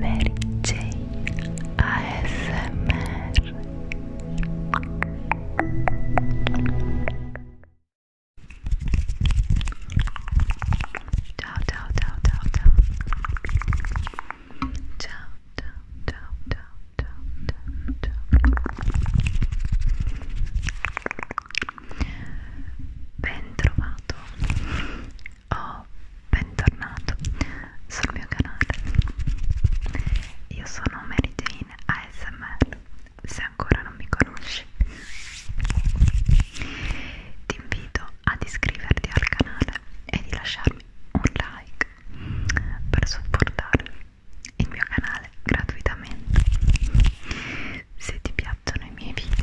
Mary Jane ASMR Ciao ciao ciao ciao ciao Ciao ciao ciao ciao ciao ciao ciao Ben trovato Oh, bentornato sul mio canale. Io sono Mary Jane ASMR, se ancora non mi conosci. Ti invito ad iscriverti al canale e di lasciarmi un like per supportare il mio canale gratuitamente se ti piacciono i miei video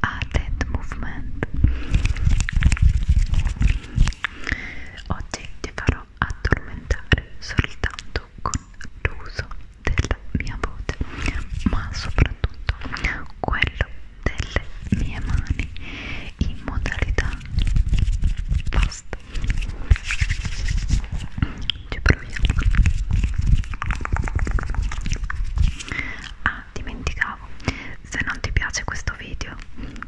a Dead Movement oggi ti farò addormentare soltanto con l'uso della mia voce ma soprattutto quello delle mie mani in modalità fast ci proviamo a ah dimenticavo se non ti piace questo video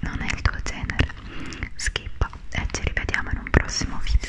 non è il tuo genere skippa e ci rivediamo in un prossimo video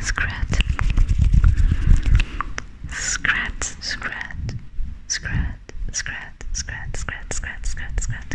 Scrat. Scrat, scrat, scrat, scrat, scrat, scrat, scrat, scrat, scrat.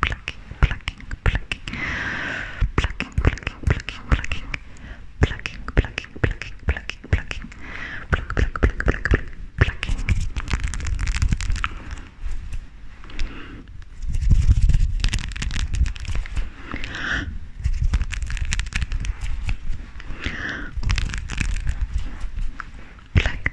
plucking, plucking, plucking, plucking, plucking, plucking, plucking, plucking, plucking, plucking, plucking, plucking, pluck, pluck, pluck, pluck, pluck, plucking. Black,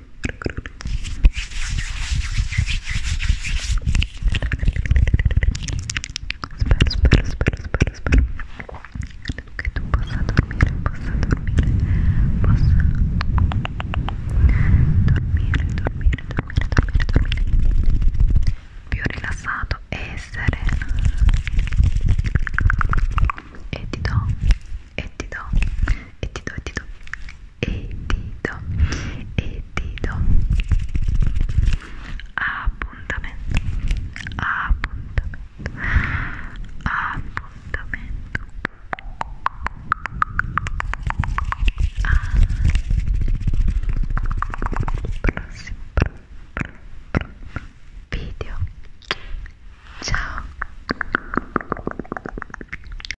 spero, spero, spero che tu possa dormire, possa dormire, possa dormire, dormire, dormire, dormire, dormire più rilassato e sereno e ti do, e ti do, e ti do, e ti do, e ti do, e dito e dito appuntamento appuntamento appuntamento al prossimo video ciao